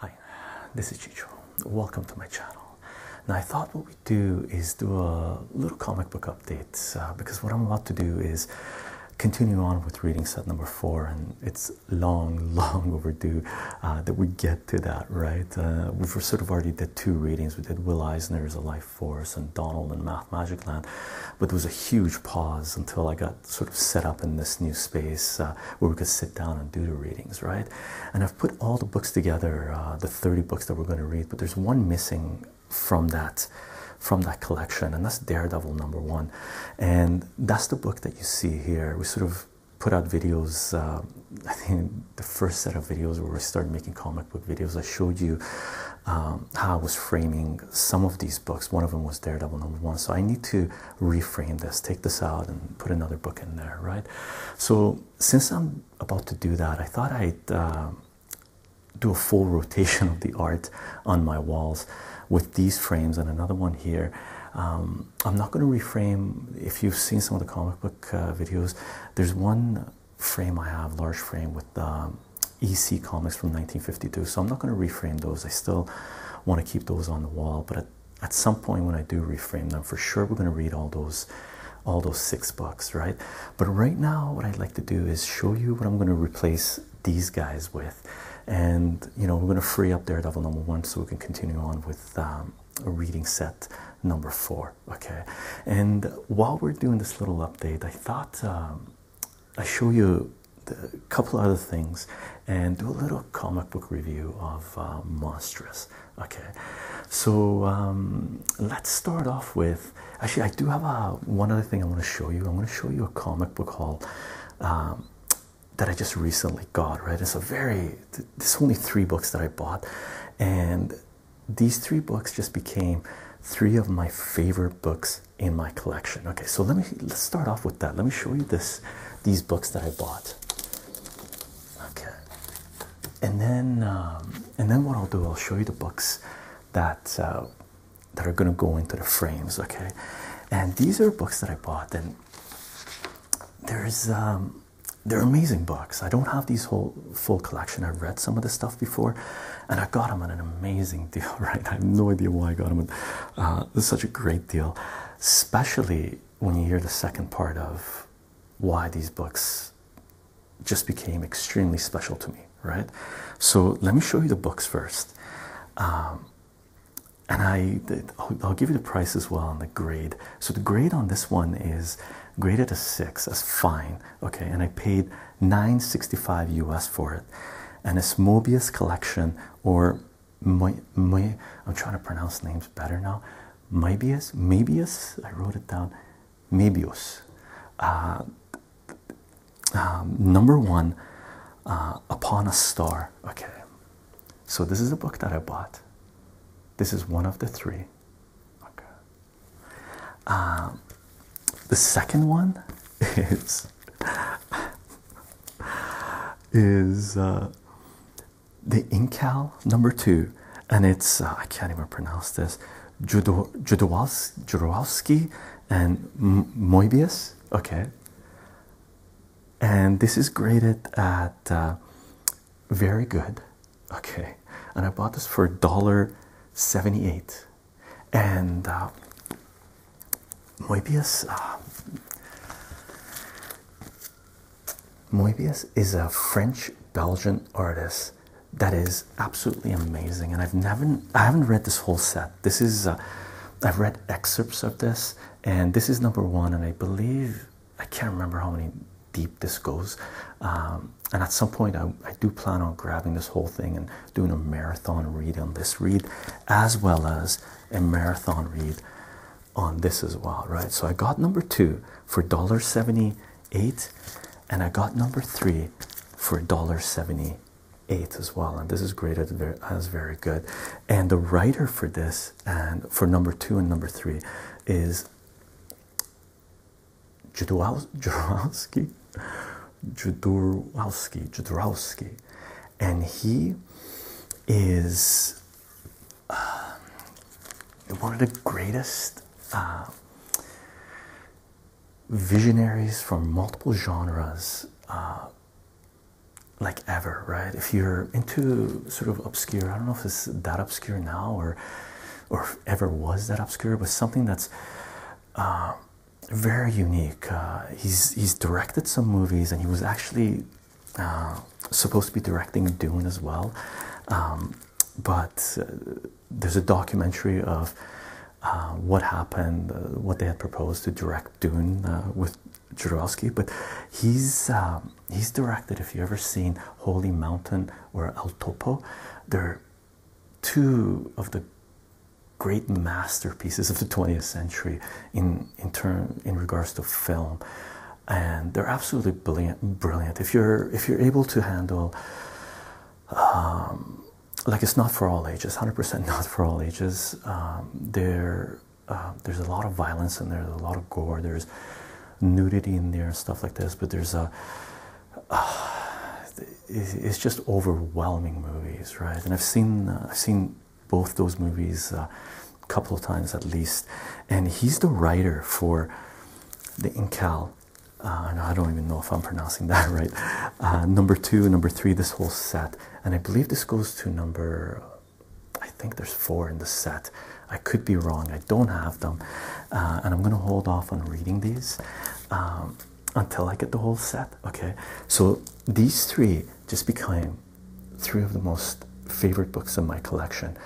Hi, this is Chicho. Welcome to my channel. Now, I thought what we do is do a little comic book update uh, because what I'm about to do is continue on with reading set number four, and it's long, long overdue uh, that we get to that, right? Uh, we've sort of already did two readings. We did Will Eisner's A Life Force and Donald and Math Magic Land, but there was a huge pause until I got sort of set up in this new space uh, where we could sit down and do the readings, right? And I've put all the books together, uh, the 30 books that we're going to read, but there's one missing from that from that collection, and that's Daredevil number one, and that's the book that you see here. We sort of put out videos. I think the first set of videos where I started making comic book videos, I showed you um, how I was framing some of these books. One of them was Daredevil number one. So I need to reframe this, take this out, and put another book in there, right? So since I'm about to do that, I thought I'd um, do a full rotation of the art on my walls with these frames and another one here. Um, I'm not going to reframe. If you've seen some of the comic book uh, videos, there's one frame I have, large frame with um, EC comics from 1952. So I'm not going to reframe those. I still want to keep those on the wall, but at, some point when I do reframe them, for sure we're going to read all those, all those six books, right? But right now, what I'd like to do is show you what I'm going to replace these guys with, and you know we're going to free up Daredevil number one so we can continue on with um, a reading set number four okay and while we're doing this little update i thought um, i show you a couple other things and do a little comic book review of uh, monstrous okay so um, let's start off with actually i do have a uh, one other thing i want to show you i want to show you a comic book haul um, that i just recently got right it's a very there's only three books that i bought and these three books just became three of my favorite books in my collection. Okay, so let me let's start off with that. Let me show you this these books that I bought. Okay, and then um, and then what I'll do, I'll show you the books that uh, that are gonna go into the frames. Okay, and these are books that I bought, and there's um, they're amazing books. I don't have these whole full collection. I've read some of this stuff before, and I got them at an amazing deal. Right? I have no idea why I got them. At, uh, it's such a great deal, especially when you hear the second part of why these books just became extremely special to me. Right? So let me show you the books first, um, and I I'll give you the price as well and the grade so the grade on this one is graded as six That's fine. Okay, and I paid 965 US for it. And it's Mobius collection or my my I'm trying to pronounce names better now. Mobius, Mobius, I wrote it down. Mobius. Uh, um, number one, uh, Upon a Star. Okay, so this is a book that I bought. This is one of the three. Okay, um, the second one is is uh, the Incal number two, and it's uh, I can't even pronounce this. Judo Judowski and Moebius. Okay, and this is graded at uh, very good okay and i bought this for a dollar 78 and uh, moebius uh, moebius is a french belgian artist that is absolutely amazing and i've never i haven't read this whole set this is uh, i've read excerpts of this and this is number one and i believe i can't remember how many deep this goes. Um, and at some point, I, do plan on grabbing this whole thing and doing a marathon read on this read, as well as a marathon read on this as well, right? So I got number two for dollar seventy-eight, and I got number three for dollar seventy-eight as well. And this is great. as very good. And the writer for this and for number two and number three is Judorowski, Judorowski, Judorowski, and he is uh, one of the greatest uh, visionaries from multiple genres, uh, like ever. Right? If you're into sort of obscure, I don't know if it's that obscure now or or ever was that obscure, but something that's uh, very unique. Uh, he's he's directed some movies, and he was actually uh, supposed to be directing Dune as well. Um, but there's a documentary of what happened, what they had proposed to direct Dune with Jodorowsky. But he's um, he's directed. If you ever seen Holy Mountain, or El Topo. They're two of the great masterpieces of the 20th century in in turn in regards to film and they're absolutely brilliant brilliant if you're if you're able to handle um, like it's not for all ages 100% not for all ages um, there um, there's a lot of violence in there there's a lot of gore there's nudity in there and stuff like this but there's a it's just overwhelming movies, right? And I've seen uh, I've seen both those movies uh, a couple of times at least. And he's the writer for the Incal. Uh, I don't even know if I'm pronouncing that right. number two, number three, this whole set, and I believe this goes to number. I think there's four in the set. I could be wrong. I don't have them, uh, and I'm gonna hold off on reading these um, until I get the whole set. Okay, so these three just became three of the most favorite books in my collection.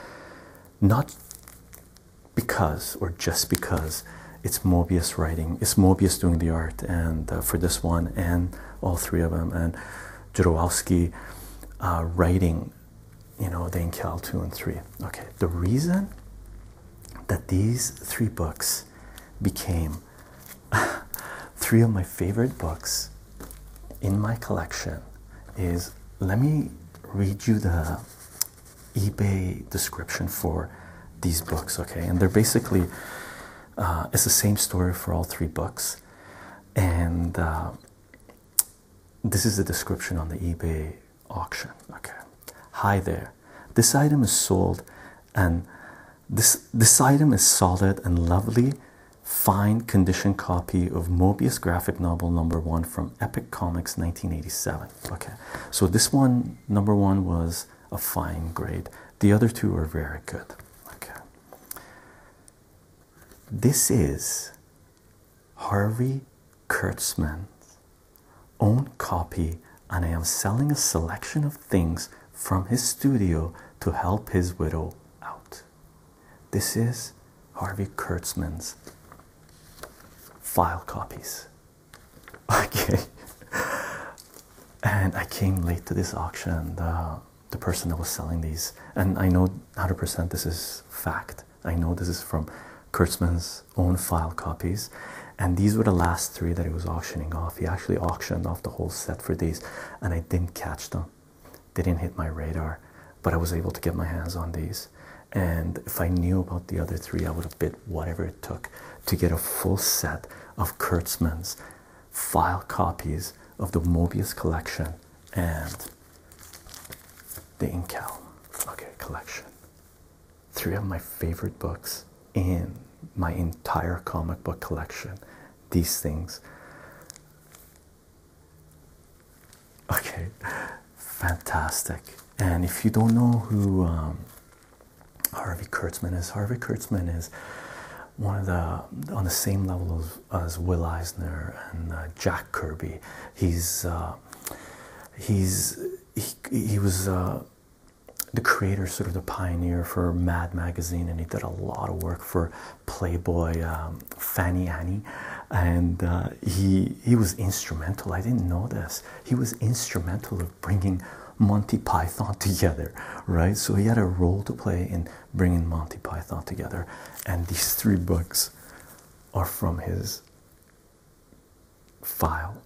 Not because, or just because, it's Mobius writing. It's Mobius doing the art, and uh, for this one and all three of them, and Jodorowsky uh, writing you know, than Cal 2 and 3. Okay, the reason that these three books became three of my favorite books in my collection is let me read you the eBay description for these books, okay? And they're basically, uh, it's the same story for all three books. And uh, this is the description on the eBay auction. Okay. Hi there. This item is sold and this this item is solid and lovely fine condition copy of Mobius graphic novel number 1 from Epic Comics 1987. Okay. So this one number 1 was a fine grade. The other two are very good. Okay. This is Harvey Kurtzman's own copy, and I am selling a selection of things from his studio to help his widow out. This is Harvey Kurtzman's file copies. Okay. And I came late to this auction. The, uh, the person that was selling these, and I know 100% this is fact. I know this is from Kurtzman's own file copies, and these were the last three that he was auctioning off. He actually auctioned off the whole set for these, and I didn't catch them. They didn't hit my radar, but I was able to get my hands on these. And if I knew about the other three, I would have bid whatever it took to get a full set of Kurtzman's file copies of the Mobius collection and the Incal collection three of my favorite books in my entire comic book collection. These things. Okay, fantastic. And if you don't know who um, Harvey Kurtzman is, Harvey Kurtzman is one of the on the same level as, Will Eisner and uh, Jack Kirby. He's uh, he's he, he was uh, the creator, sort of the pioneer for Mad Magazine, and he did a lot of work for Playboy, um, Fanny Annie, and uh, he he was instrumental. I didn't know this. He was instrumental of bringing Monty Python together, right? So he had a role to play in bringing Monty Python together, and these three books are from his file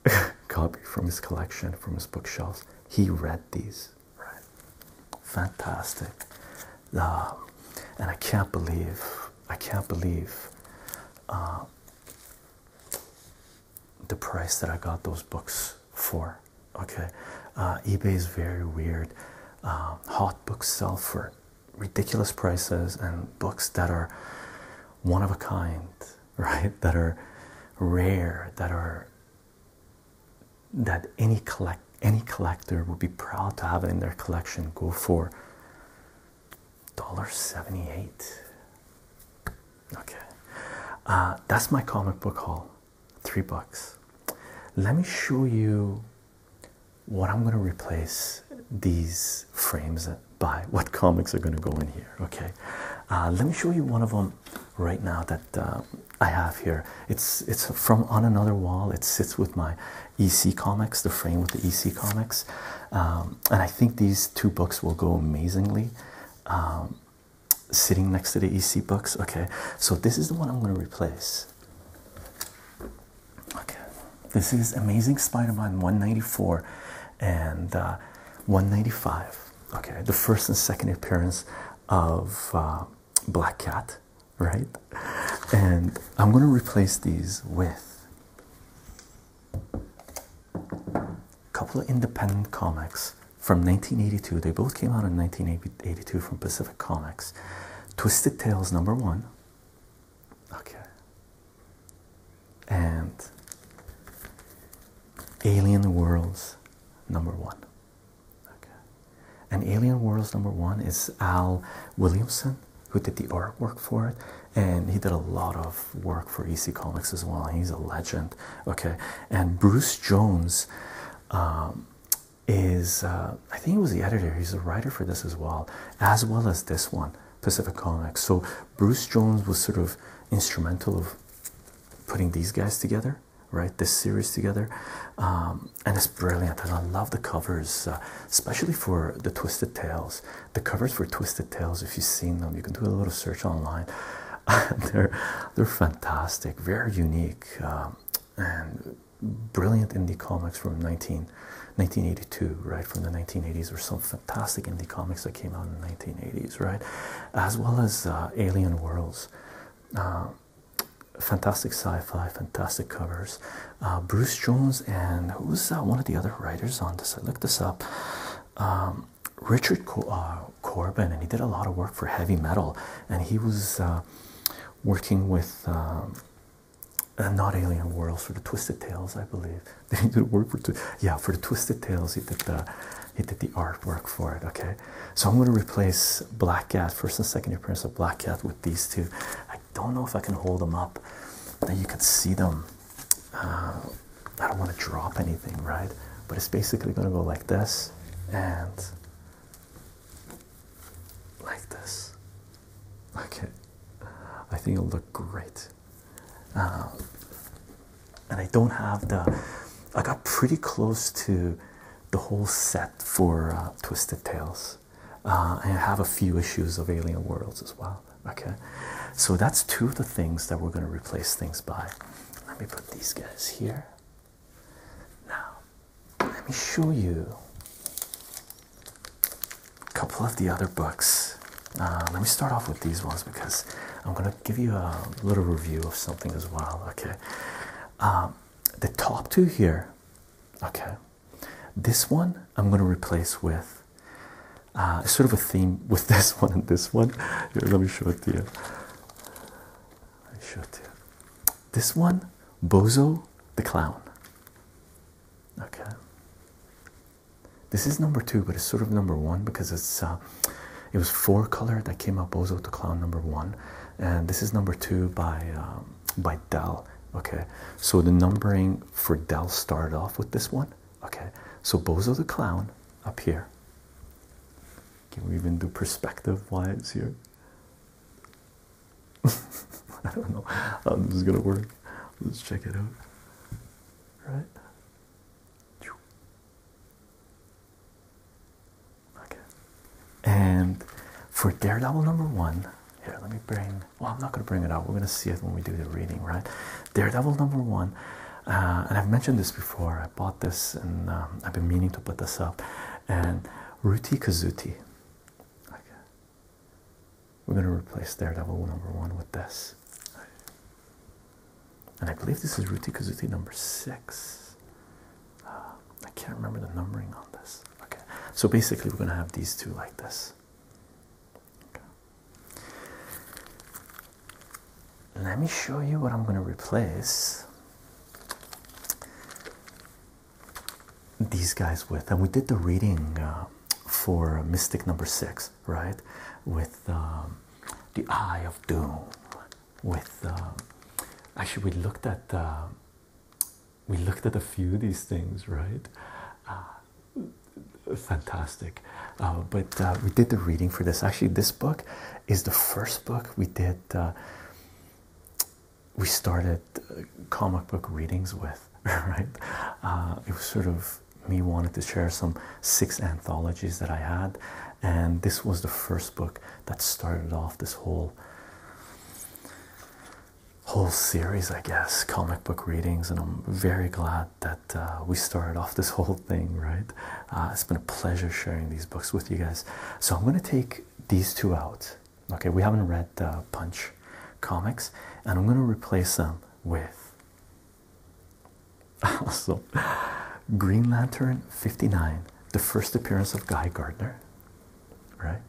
copy from his collection, from his bookshelves. He read these, right? Fantastic. Um, and I can't believe, I can't believe uh, the price that I got those books for. Okay, uh, eBay is very weird. Um, hot books sell for ridiculous prices and books that are one of a kind, right? That are rare, that are that any collect any collector would be proud to have in their collection go for $1.78. Okay. Uh, that's my comic book haul. Three bucks. Let me show you what I'm going to replace these frames by, what comics are going to go in here. Okay, uh, let me show you one of them right now that uh, I have here. It's it's from on another wall. It sits with my EC comics, the frame with the EC comics, um, and I think these two books will go amazingly. Um, sitting next to the EC books. Okay, so this is the one I'm going to replace. Okay, this is Amazing Spider Man 194 and uh, 195. Okay, the first and second appearance of uh, Black Cat, right? And I'm going to replace these with a couple of independent comics from 1982. They both came out in 1982 from Pacific Comics. Twisted Tales number one. Okay, and Alien Worlds number one. Okay. And Alien Worlds number one is Al Williamson, who did the art work for it, and he did a lot of work for EC Comics as well. He's a legend. Okay. And Bruce Jones um, is, uh, I think he was the editor, he's a writer for this as well, as well as this one. Pacific Comics. So Bruce Jones was sort of instrumental of putting these guys together, right? This series together, um, and it's brilliant. And I love the covers, uh, especially for the Twisted Tales. The covers for Twisted Tales, if you've seen them, you can do a little search online. they're they're fantastic, very unique, um, and brilliant indie comics from 19 1982, right? From the 1980s, or some fantastic indie comics that came out in the 1980s, right? As well as uh, Alien Worlds, uh, fantastic sci-fi, fantastic covers. Uh, Bruce Jones and who's uh, one of the other writers on this? I looked this up. Um, Richard Co Corbin, and he did a lot of work for heavy metal, and he was working with. Um, and not Alien World for the Twisted tails. I believe. Did work for Yeah, for the Twisted tails. he did the he did the artwork for it. Okay, so I'm gonna replace Black Cat, first and second year appearance of Black Cat, with these two. I don't know if I can hold them up, that you can see them. Uh, I don't want to drop anything, right? But it's basically gonna go like this and like this. Okay, I think it'll look great. Um, and I don't have the. I got pretty close to the whole set for uh, Twisted Tales. Uh, I have a few issues of Alien Worlds as well. Okay, so that's two of the things that we're going to replace things by. Let me put these guys here. Now, let me show you a couple of the other books. Uh, let me start off with these ones because I'm going to give you a little review of something as well. Okay. Um, the top two here. Okay. This one I'm going to replace with uh, sort of a theme with this one and this one. let me show it to you. I me show it to you. This one, Bozo the Clown. Okay. This is number two, but it's sort of number one because it's uh, it was four color that came out Bozo to Clown number one, and this is number two by um, by Dell. Okay, so the numbering for Dell started off with this one. Okay, so Bozo the Clown up here. Can we even do perspective it's here? I don't know how this is gonna work. Let's check it out right? Okay, and for Daredevil number one, here let me bring. Well, I'm not going to bring it out. We're going to see it when we do the reading, right? Daredevil number one, uh, and I've mentioned this before. I bought this, and um, I've been meaning to put this up. And Ruti Kazuti, okay, we're going to replace Daredevil number one with this. And I believe this is Ruti Kazuti number six. Ah, I can't remember the numbering on this. Okay, so basically, we're going to have these two like this. Let me show you what I'm going to replace these guys with. And we did the reading uh, for Mystic number six right? With um, the Eye of Doom. With um, actually, we looked at um, we looked at a few of these things, right? Uh, fantastic uh, but uh, we did the reading for this actually this book is the first book we did we started comic book readings with right it was sort of me wanted to share some six anthologies that I had, and this was the first book that started off this whole whole series, I guess, comic book readings, and I'm very glad that uh, we started off this whole thing. Right, uh, it's been a pleasure sharing these books with you guys. So I'm gonna take these two out. Okay, we haven't read uh, Punch comics, and I'm gonna replace them with Also, Green Lantern 59, the first appearance of Guy Gardner, right?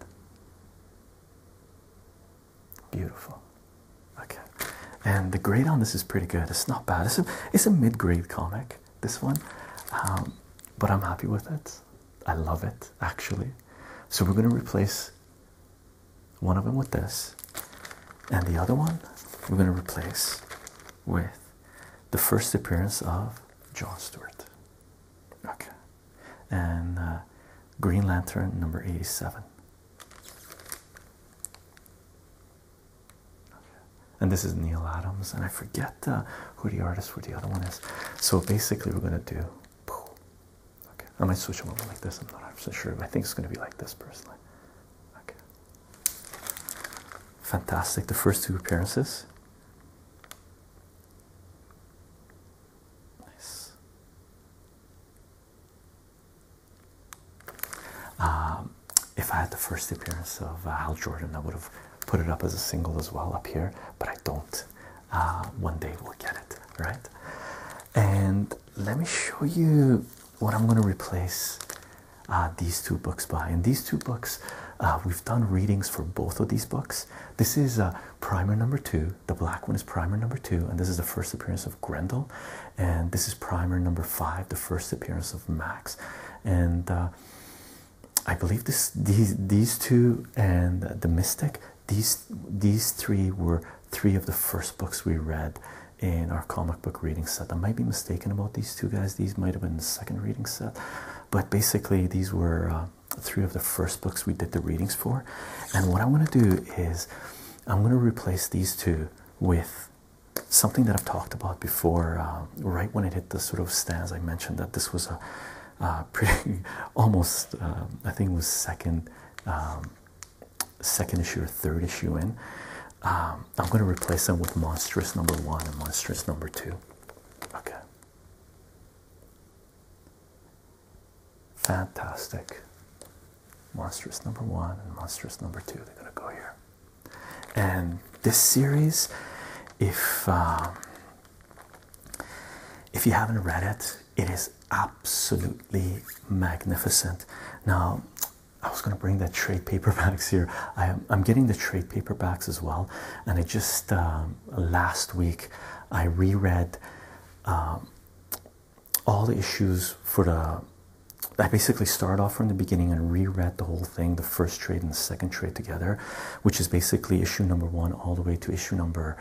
Beautiful. Okay. And the grade on this is pretty good. It's not bad. It's a, it's a mid grade comic, this one. Um, but I'm happy with it. I love it, actually. So we're going to replace one of them with this, and the other one we're going to replace with the first appearance of John Stewart. Okay, and uh, Green Lantern number 87. And this is Neil Adams, and I forget uh, who the artist for the other one is. So basically, we're gonna do Okay, I might switch them over like this. I'm not actually sure, but I think it's going to be like this personally. Okay, fantastic. The first two appearances. Nice. Um, if I had the first appearance of uh, Hal Jordan, I would have put it up as a single as well up here, but I don't. Uh, one day we'll get it right. And let me show you what I'm going to replace uh, these two books by. And these two books, uh, we've done readings for both of these books. This is uh, primer number two. The black one is primer number two, and this is the first appearance of Grendel. And this is primer number five, the first appearance of Max. And I believe this, these, these two and the Mystic these these three were three of the first books we read in our comic book reading set. I might be mistaken about these two guys. These might have been the second reading set, but basically these were uh, three of the first books we did the readings for. And what I want to do is I'm going to replace these two with something that I've talked about before. Uh, right when it hit the sort of stands, I mentioned that this was a uh, pretty almost I think it was second um, second issue or third issue in. Um, I'm going to replace them with monstrous number one and monstrous number two. Okay. Fantastic. Monstrous number one and monstrous number two. They're going to go here. And this series, if um, if you haven't read it, it is absolutely magnificent. Now, I was going to bring the trade paperbacks here. I am, getting the trade paperbacks as well, and I just um, last week I reread um, all the issues for the. I basically started off from the beginning and reread the whole thing, the first trade and the second trade together, which is basically issue number one all the way to issue number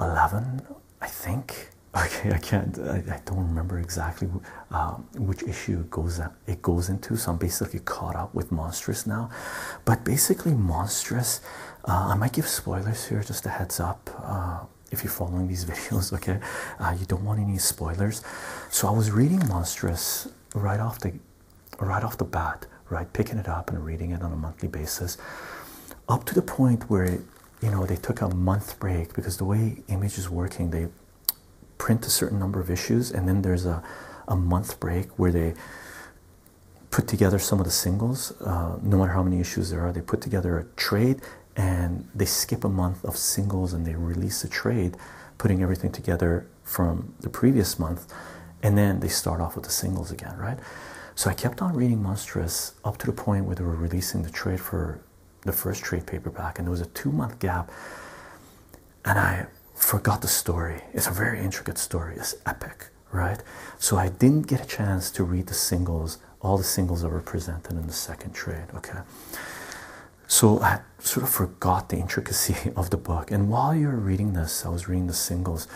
11 i think okay i can't i, don't remember exactly uh, which issue it goes into so i'm basically caught up with monstrous now but basically monstrous uh, i might give spoilers here just a heads up uh, if you're following these videos okay you don't want any spoilers so i was reading monstrous right off the right off the bat right picking it up and reading it on a monthly basis up to the point where it you know, they took a month break because the way Image is working, they print a certain number of issues and then there's a, a month break where they put together some of the singles. Uh, no matter how many issues there are, they put together a trade and they skip a month of singles and they release a trade, putting everything together from the previous month. And then they start off with the singles again, right? So I kept on reading Monstrous up to the point where they were releasing the trade for the first trade paperback, and there was a two month gap. And I forgot the story. It's a very intricate story, it's epic, right? So I didn't get a chance to read the singles, all the singles that were presented in the second trade, okay? So I sort of forgot the intricacy of the book. And while you were reading this, I was reading the singles.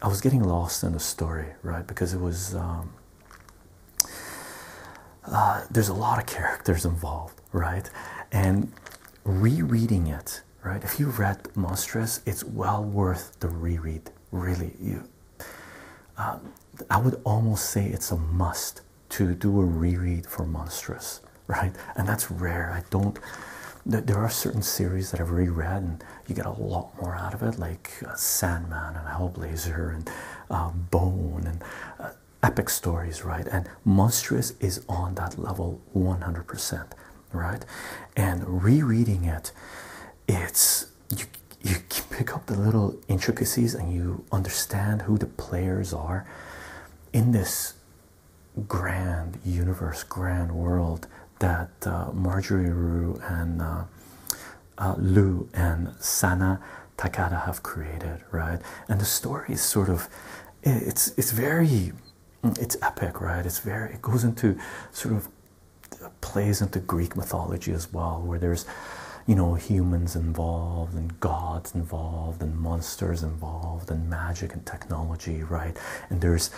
I was getting lost in the story, right? Because it was um, uh, there's a lot of characters involved, right? And rereading it, right? If you read Monstrous, it's well worth the reread. Really, you. Um, I would almost say it's a must to do a reread for Monstrous, right? And that's rare. I don't. There are certain series that I've reread, and you get a lot more out of it, like uh, Sandman and Hellblazer and uh, Bone and uh, epic stories, right? And Monstrous is on that level 100%, right? And rereading it, it's you, you pick up the little intricacies and you understand who the players are in this grand universe, grand world that Marjorie Rue and uh, Lu and Sana Takada have created, right? And the story is sort of, it's it's very, it's epic, right? It's very, it goes into sort of uh, plays into Greek mythology as well, where there's, you know, humans involved and gods involved and monsters involved and magic and technology, right? And there's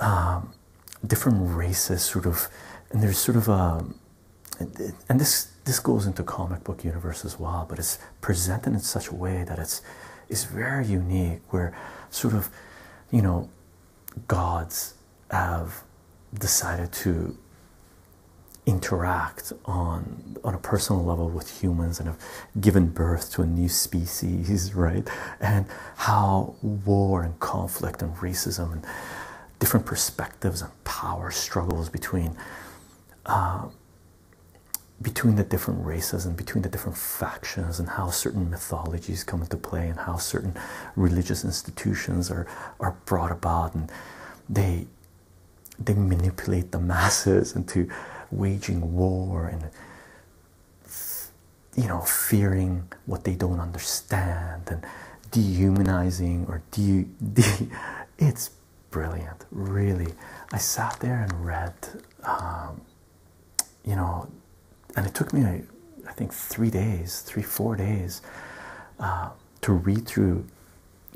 um, different races, sort of, and there's sort of a um, and this this goes into comic book universe as well, but it's presented in such a way that it's it's very unique where sort of you know gods have decided to interact on on a personal level with humans and have given birth to a new species right and how war and conflict and racism and different perspectives perspectives a power struggles between uh, between the different races and between the different factions and how certain mythologies come into play and how certain religious institutions are are brought about and they they manipulate the masses into waging war and you know fearing what they don't understand and dehumanizing or de, de it's brilliant really i sat there and read um, you know and it took me I think three days three four days uh, to read through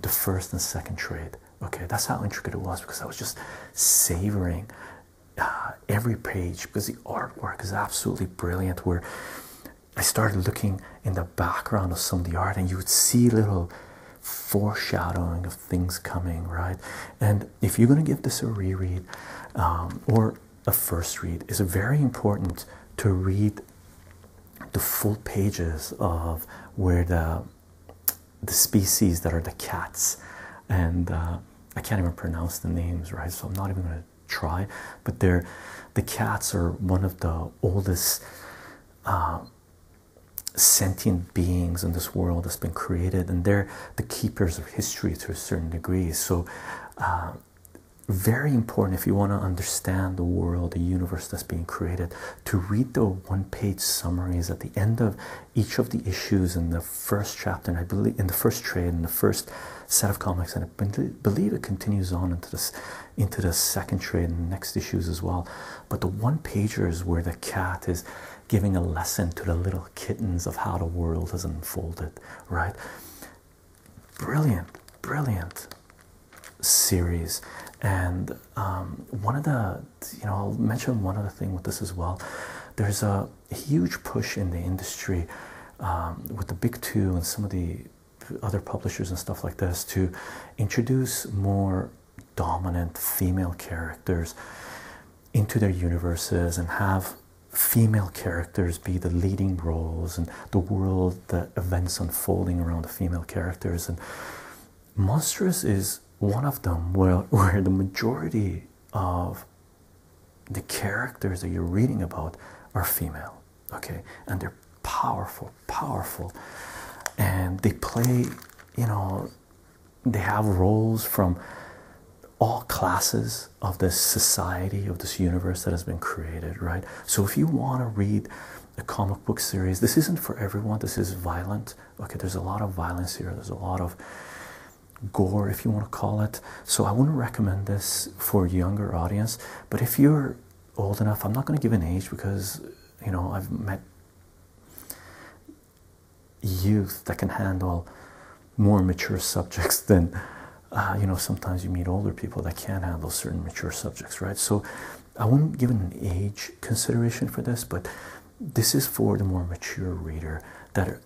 the first and second trade okay that's how intricate it was because i was just savoring uh, every page because the artwork is absolutely brilliant where I started looking in the background of some of the art, and you would see little foreshadowing of things coming, right? And if you're going to give this a reread um, or a first read, it's very important to read the full pages of where the the species that are the cats and uh, I can't even pronounce the names, right? So I'm not even going to Try, but they're the cats are one of the oldest uh, sentient beings in this world that's been created, and they're the keepers of history to a certain degree. So, uh, very important if you want to understand the world, the universe that's being created, to read the one page summaries at the end of each of the issues in the first chapter, and I believe in the first trade, in the first set of comics, believe it continues on into this into the second trade and next issues as well. But the one pager is where the cat is giving a lesson to the little kittens of how the world has unfolded, right? Brilliant, brilliant series. And um, one of the, you know, I'll mention one other thing with this as well. There's a huge push in the industry um, with the big two and some of the other publishers and stuff like this to introduce more dominant female characters into their universes and have female characters be the leading roles and the world the events unfolding around the female characters and monstrous is one of them where, where the majority of the characters that you're reading about are female okay and they're powerful powerful and they play you know they have roles from all classes of this society of this universe that has been created right so if you want to read a comic book series this isn't for everyone this is violent okay there's a lot of violence here there's a lot of gore if you want to call it so i wouldn't recommend this for younger audience but if you're old enough. I'm not going to give an age because you know I've met youth that can handle more mature subjects than uh, you know. Sometimes you meet older people that can't handle certain mature subjects, right? So I wouldn't give an age consideration for this, but this is for the more mature reader that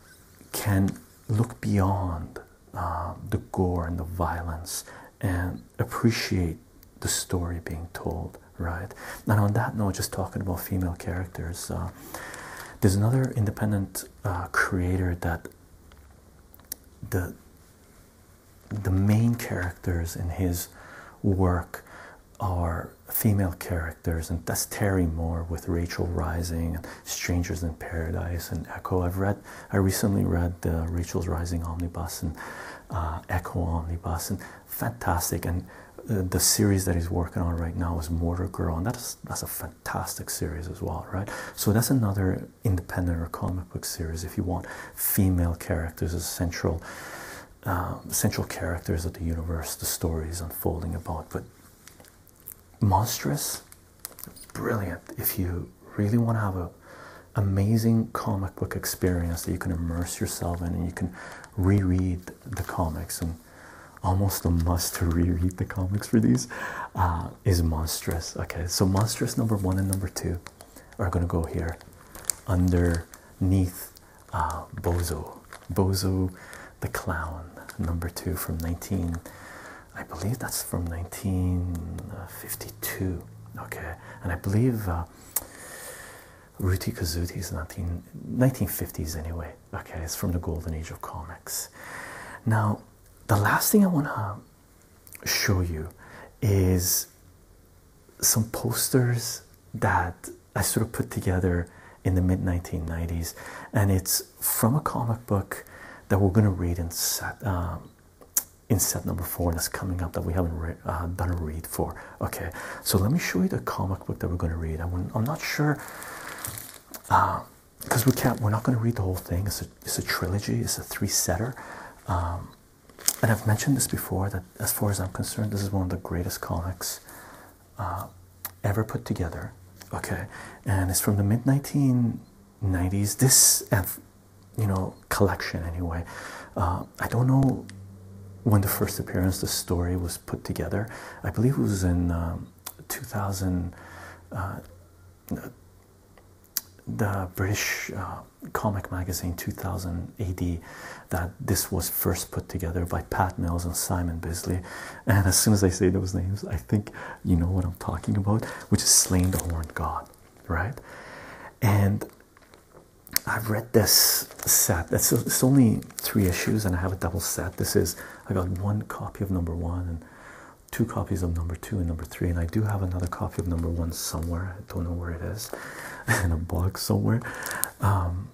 can look beyond um, the gore and the violence and appreciate the story being told, right? And on that note, just talking about female characters, uh, there's another independent uh, creator that the the main characters in his work are female characters, and that's Terry Moore with Rachel Rising and Strangers in Paradise and Echo. I've read I recently read uh, Rachel's Rising Omnibus and uh, Echo Omnibus and fantastic and uh, the series that he's working on right now is Mortar Girl and that's that's a fantastic series as well right so that's another independent or comic book series if you want female characters as central um, central characters of the universe the story is unfolding about but monstrous brilliant if you really want to have an amazing comic book experience that you can immerse yourself in and you can reread the comics and almost a must to reread the comics for these uh, is monstrous okay so monstrous number one and number two are going to go here underneath uh, bozo bozo the clown number two from 19 I believe that's from 1952. Okay, and I believe uh, Ruti Kazuti is 19, 1950s anyway. Okay, it's from the golden age of comics. Now, the last thing I want to show you is some posters that I sort of put together in the mid 1990s, and it's from a comic book that we're going to read and Set, um, in set number four that's coming up that we haven't uh, done a read for. Okay, so let me show you the comic book that we're going to read. I'm, not sure because uh, we can't. We're not going to read the whole thing. It's a it's a trilogy. It's a three setter. Um, and I've mentioned this before that as far as I'm concerned, this is one of the greatest comics uh, ever put together. Okay, and it's from the mid 19 90s this uh, you know collection anyway uh, i don't know when the first appearance the story was put together i believe it was in um, 2000 uh, the british comic magazine 2000 ad that this was first put together by pat mills and simon bisley and as soon as i say those names i think you know what i'm talking about which is slaying the horned god right? And I've read this set. That's it's only three issues, and I have a double set. This is I got one copy of number one and two copies of number two and number three, and I do have another copy of number one somewhere. I don't know where it is, in a box somewhere. Um,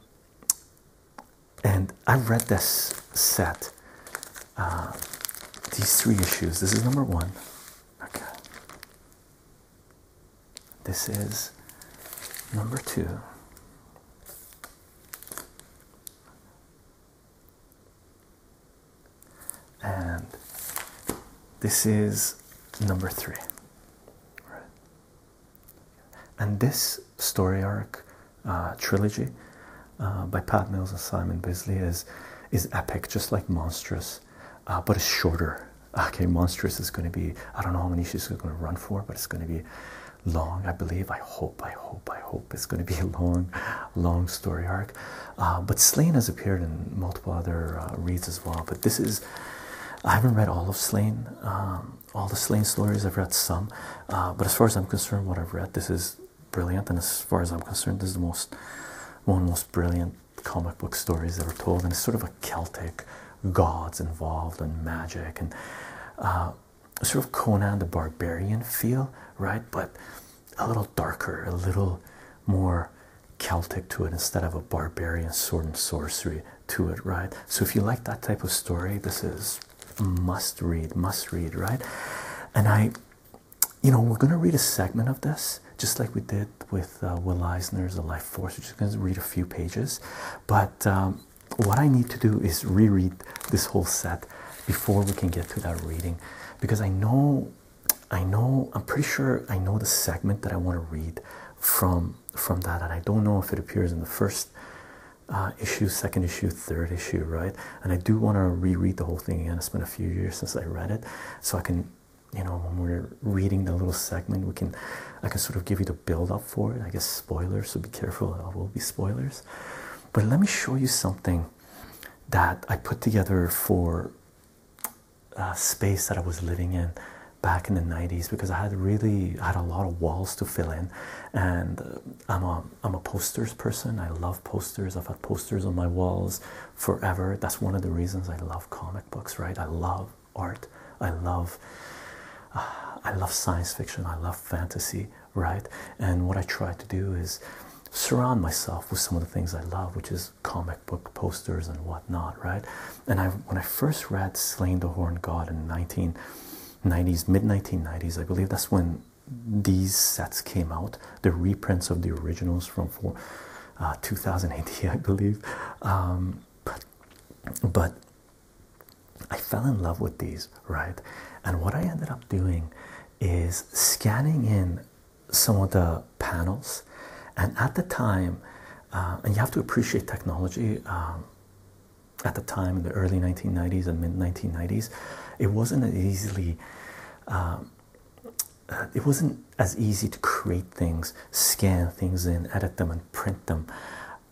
and I've read this set, uh, these three issues. This is number one. Okay. This is number two. And this is number three. Right. And this story arc uh, trilogy uh, by Pat Mills and Simon Bisley is is epic, just like monstrous. Uh, but it's shorter. Okay, monstrous is going to be, I don't know how many she's going to run for, but it's going to be long, I believe. I hope, I hope, I hope it's going to be a long, long story arc. Uh, but Slane has appeared in multiple other uh, reads as well. But this is, I haven't read all of Slane, um, all the Slane stories, I've read some. but as far as I'm concerned, what I've read, this is brilliant. And as far as I'm concerned, this is the most, one of the most brilliant comic book stories that are told, and it's sort of a Celtic gods involved and magic and uh, sort of Conan the Barbarian feel, right? But a little darker, a little more Celtic to it instead of a barbarian sword and sorcery to it, right? So if you like that type of story, this is must read, must read, right? And I you know, we're going to read a segment of this, just like we did with uh, Will Eisner's The Life Force. We're just going to read a few pages. But um, what I need to do is reread this whole set before we can get to that reading, because I know, I know, I'm pretty sure I know the segment that I want to read from from that, and I don't know if it appears in the first. Uh, issue, second issue, third issue, right? And I do want to reread the whole thing again. It's been a few years since I read it, so I can you know when we're reading the little segment we can i can sort of give you the build up for it i guess spoilers so be careful i will be spoilers but let me show you something that i put together for a uh, space that i was living in back in the 90s because i had really I had a lot of walls to fill in and uh, i'm a i'm a posters person i love posters i've had posters on my walls forever. That's one of the reasons I love comic books, right? I love art. I love I love science fiction. I love fantasy, right? And what I try to do is surround myself with some of the things I love, which is comic book posters and whatnot, right? And I when I first read Slain the Horn God in 1990s, mid 1990s, I believe that's when these sets came out, the reprints of the originals from four, uh, 2008, I believe. Um, but, I fell in love with these, right? And what I ended up doing is scanning in some of the panels, and at the time, uh, and you have to appreciate technology. Um, at the time in the early 1990s and mid 1990s, it wasn't as easily um, uh, it wasn't as easy to create things, scan things in, edit them, and print them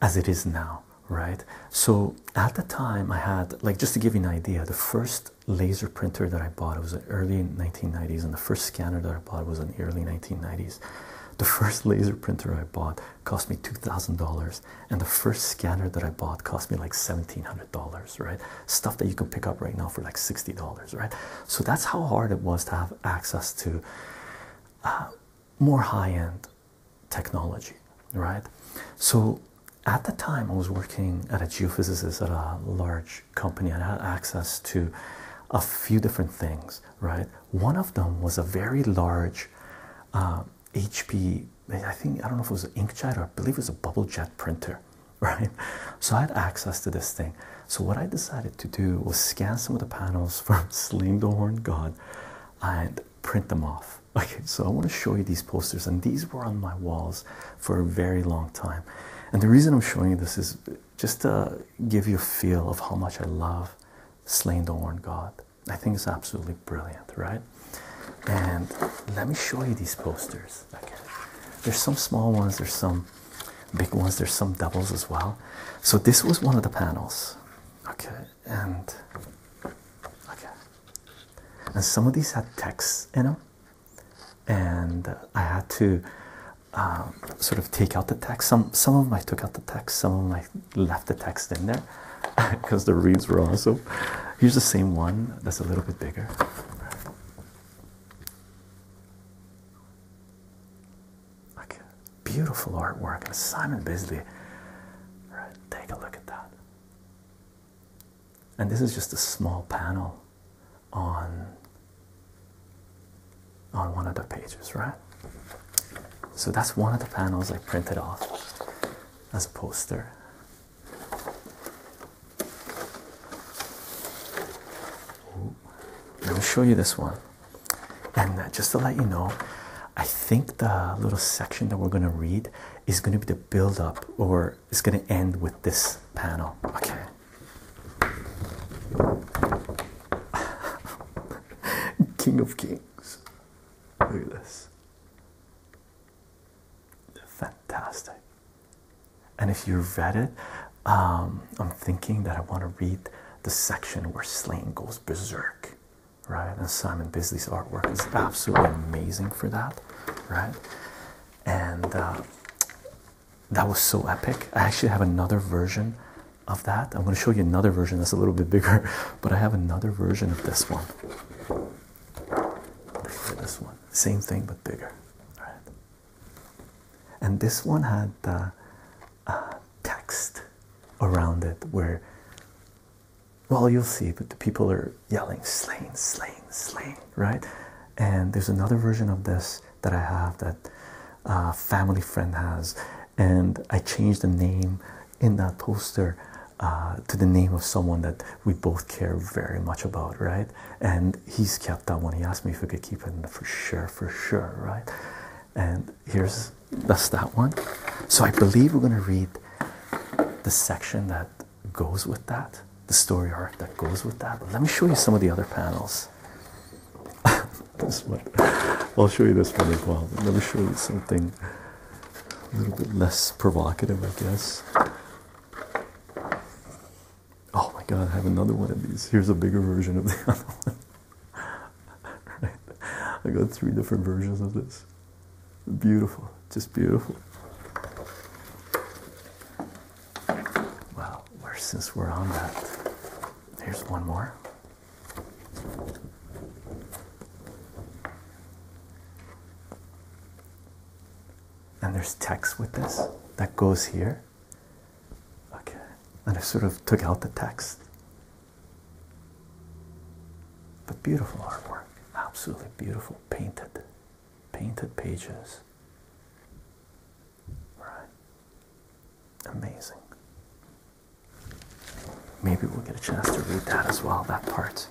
as it is now, right? So at the time, I had like just to give you an idea, the first laser printer that I bought it was an early 1990s, and the first scanner that I bought was an early 1990s. The first laser printer I bought cost me two thousand dollars, and the first scanner that I bought cost me like seventeen hundred dollars, right? stuff that you can pick up right now for like $60, right? So that's how hard it was to have access to uh, more high end technology, right? So at the time, I was working as a geophysicist at a large company and I had access to a few different things, right? One of them was a very large HP, uh, I think, I don't know if it was an inkjet or I believe it was a bubble jet printer, right? So I had access to this thing. So what I decided to do was scan some of the panels from Sling the Horn God and print them off. Okay, so I want to show you these posters, and these were on my walls for a very long time. And the reason I'm showing you this is just to give you a feel of how much I love Slain the Horn God. I think it's absolutely brilliant, right? And let me show you these posters. Okay. There's some small ones, there's some big ones, there's some doubles as well. So this was one of the panels. Okay, and okay. And some of these had texts in them, and I had to um, sort of take out the text. Some some of them I took out the text, some of them I left the text in there because the reads were also. Here's the same one that's a little bit bigger. Okay, beautiful artwork and Simon Bisley. All right, take a look at that. And this is just a small panel on on one of the pages, right? So that's one of the panels I printed off as a poster. Let me show you this one. And uh, just to let you know, I think the little section that we're going to read is going to be the build up, or it's going to end with this panel. Okay. King of Kings. Look at this. Fantastic. And if you read it, um, I'm thinking that I want to read the section where Slane goes berserk, right? And Simon Bisley's artwork is absolutely amazing for that, right? And uh, that was so epic. I actually have another version of that. I'm going to show you another version that's a little bit bigger, but I have another version of this one. This one, same thing but bigger. All right and this one had uh, text around it where well you'll see but the people are yelling slain slain slain right and there's another version of this that i have that a uh, family friend has and i changed the name in that poster uh, to the name of someone that we both care very much about right and he's kept that one. He asked me if we could keep it for sure, for sure, right? And here's that's that one. So I believe we're going to read the section that goes with that, the story arc that goes with that. let me show you some of the other panels. this one, I'll show you this one as well. let me show you something a little bit less provocative, I guess. Oh my god, I have another one of these. Here's a bigger version of the other one. I got three different versions of this. Beautiful, just beautiful. Wow, since we're on that, here's one more. And there's text with this that goes here. Okay, and I sort of took out the text. But beautiful artwork, absolutely beautiful, painted, painted pages. Right, amazing. Maybe we'll get a chance to read that as well, that part.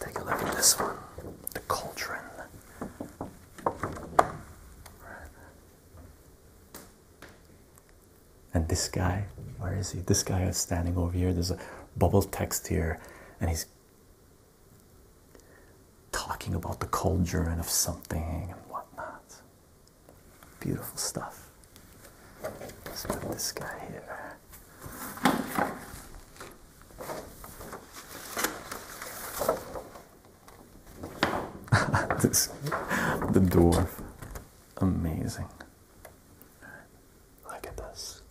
Take a look at this one, the cauldron. And this guy, where is he? This guy is standing over here. There's a bubble text here, and he's talking about the cauldron of something and whatnot. Beautiful stuff let put this guy here. this, the dwarf, amazing. Look at this,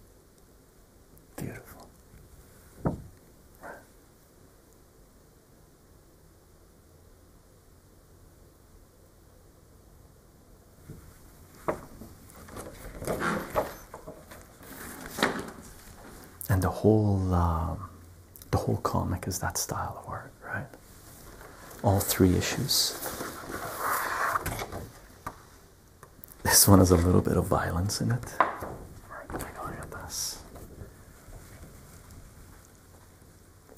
beautiful. And the whole um, the whole comic is that style of art, right? All three issues. This one has a little bit of violence in it. Take a look at this.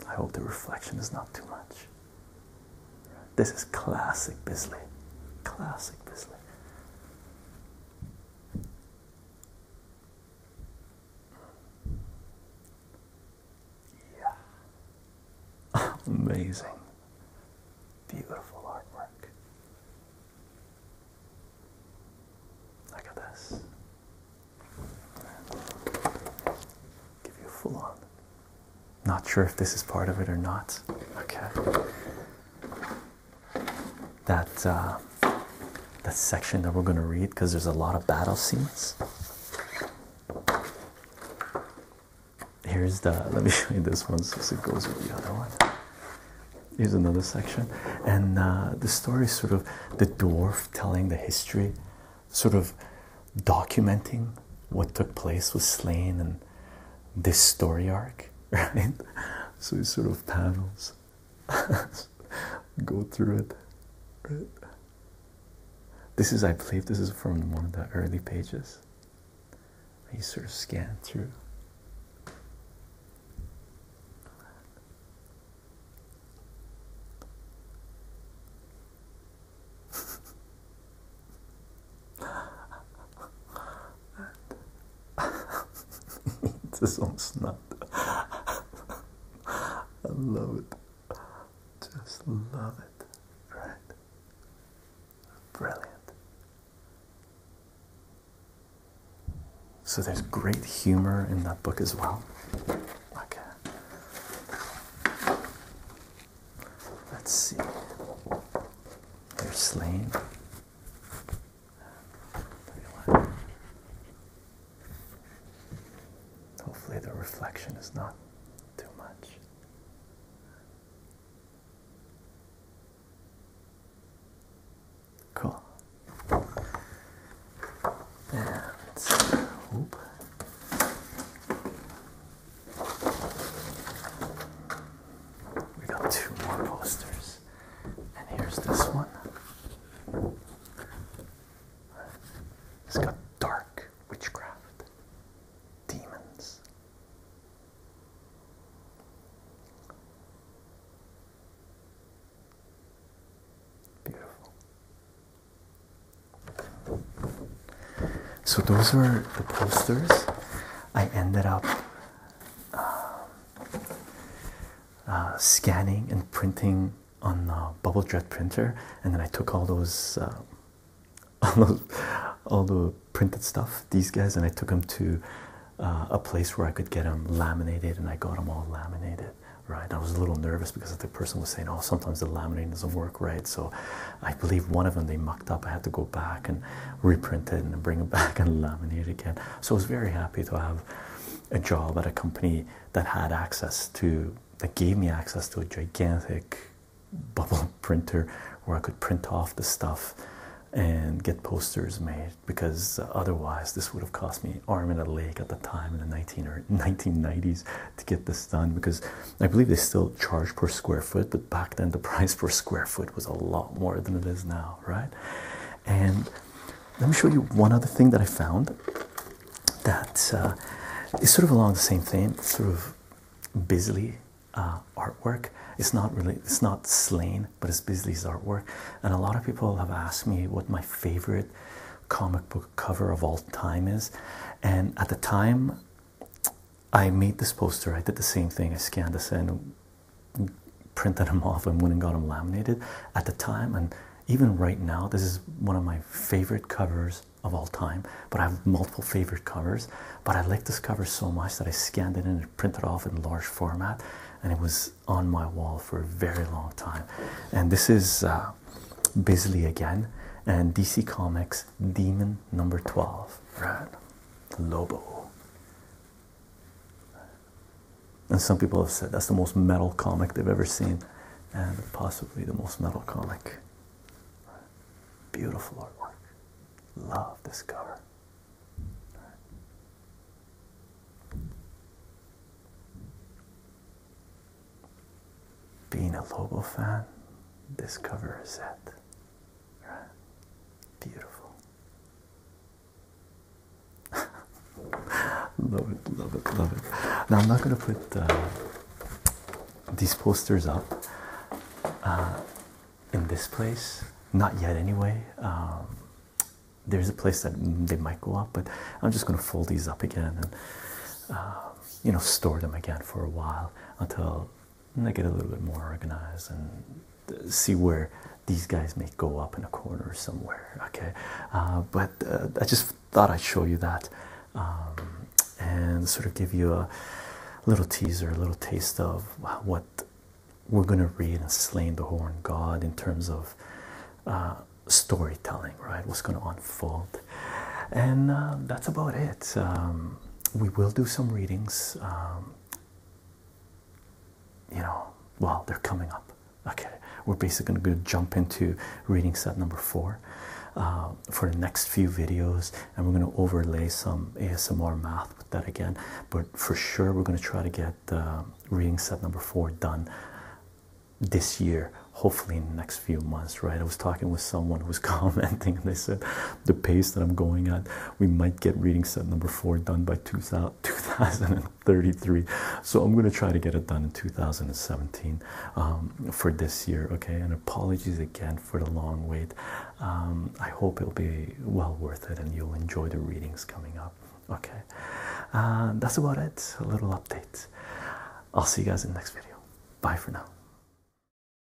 I hope the reflection is not too much. This is classic Bisley. Classic Bisley. Yeah. Amazing. Beautiful artwork. Look at this give you a full on. Not sure if this is part of it or not. Okay. That uh, that section that we're going to read because there's a lot of battle scenes. Here's the. Let me show you this one since it goes with the other one. Here's another section, and uh, the story is sort of the dwarf telling the history, sort of documenting what took place with Slane and this story arc, right? So these sort of panels go through it. This is, I believe, this is from one of the early pages. You sort of scan through. this one's not. I love it. Just love it. Right? Brilliant. So there's great humor in that book as well. Okay. Let's see. They're slain. Hopefully, the reflection is not too much. Cool. And, we got two more posters, and here's this one. It's got dark witchcraft, demons. Beautiful. So those were the posters. I ended up um, uh, scanning and printing on a bubblejet printer, and then I took all those, uh, all those, all the printed stuff. These guys, and I took them to uh, a place where I could get them laminated, and I got them all laminated. Right, I was a little nervous because the person was saying, "Oh, sometimes the laminating doesn't work right." So, I believe one of them they mucked up. I had to go back and reprint it and bring it back and laminate it again. So I was very happy to have a job at a company that had access to that gave me access to a gigantic bubble printer where I could print off the stuff and get posters made because otherwise this would have cost me arm and a leg at the time in the 19 or 1990s to get this done because I believe they still charge per square foot, but back then the price per square foot was a lot more than it is now, right? And let me show you one other thing that I found that uh, is sort of along the same theme. sort of Bisley uh, artwork. It's not really, it's not Slain, but it's Bisley's artwork. And a lot of people have asked me what my favorite comic book cover of all time is. And at the time, I made this poster. I did the same thing. I scanned this and printed them off, and went and got them laminated at the time. And even right now, this is one of my favorite covers of all time. But I have multiple favorite covers. But I like this cover so much that I scanned it and printed off in large format, and it was on my wall for a very long time. And this is uh, Bisley again, and DC Comics demon number 12, right? Lobo. And some people have said that's the most metal comic they've ever seen, and possibly the most metal comic. Beautiful artwork. Love this cover. Being a Lobo fan, this cover is it. Beautiful. love it, love it, love it. Now I'm not gonna put uh, these posters up uh, in this place, not yet anyway. Um, there's a place that they might go up, but I'm just gonna fold these up again and um, you know store them again for a while until and I get a little bit more organized and uh, see where these guys may go up in a corner somewhere. Okay, uh, but uh, I just thought I'd show you that um, and sort of give you a little teaser, a little taste of what we're going to read and Slaying the Horn God in terms of storytelling, right? What's going to unfold, and that's about it. Um, we will do some readings. Um, you know, well, they're coming up. Okay, we're basically going to jump into reading set number four uh, for the next few videos, and we're going to overlay some ASMR math with that again. But for sure, we're going to try to get reading set number four done this year hopefully in the next few months right i was talking with someone who was commenting and they said the pace that I'm going at, we might get reading set number four done by 2033. So I'm going to try to get it done in 2017 um, for this year. Okay, and apologies again for the long wait. Um, I hope it'll be well worth it and you'll enjoy the readings coming up. Okay, uh, that's about it. A little update. I'll see you guys in the next video. Bye for now.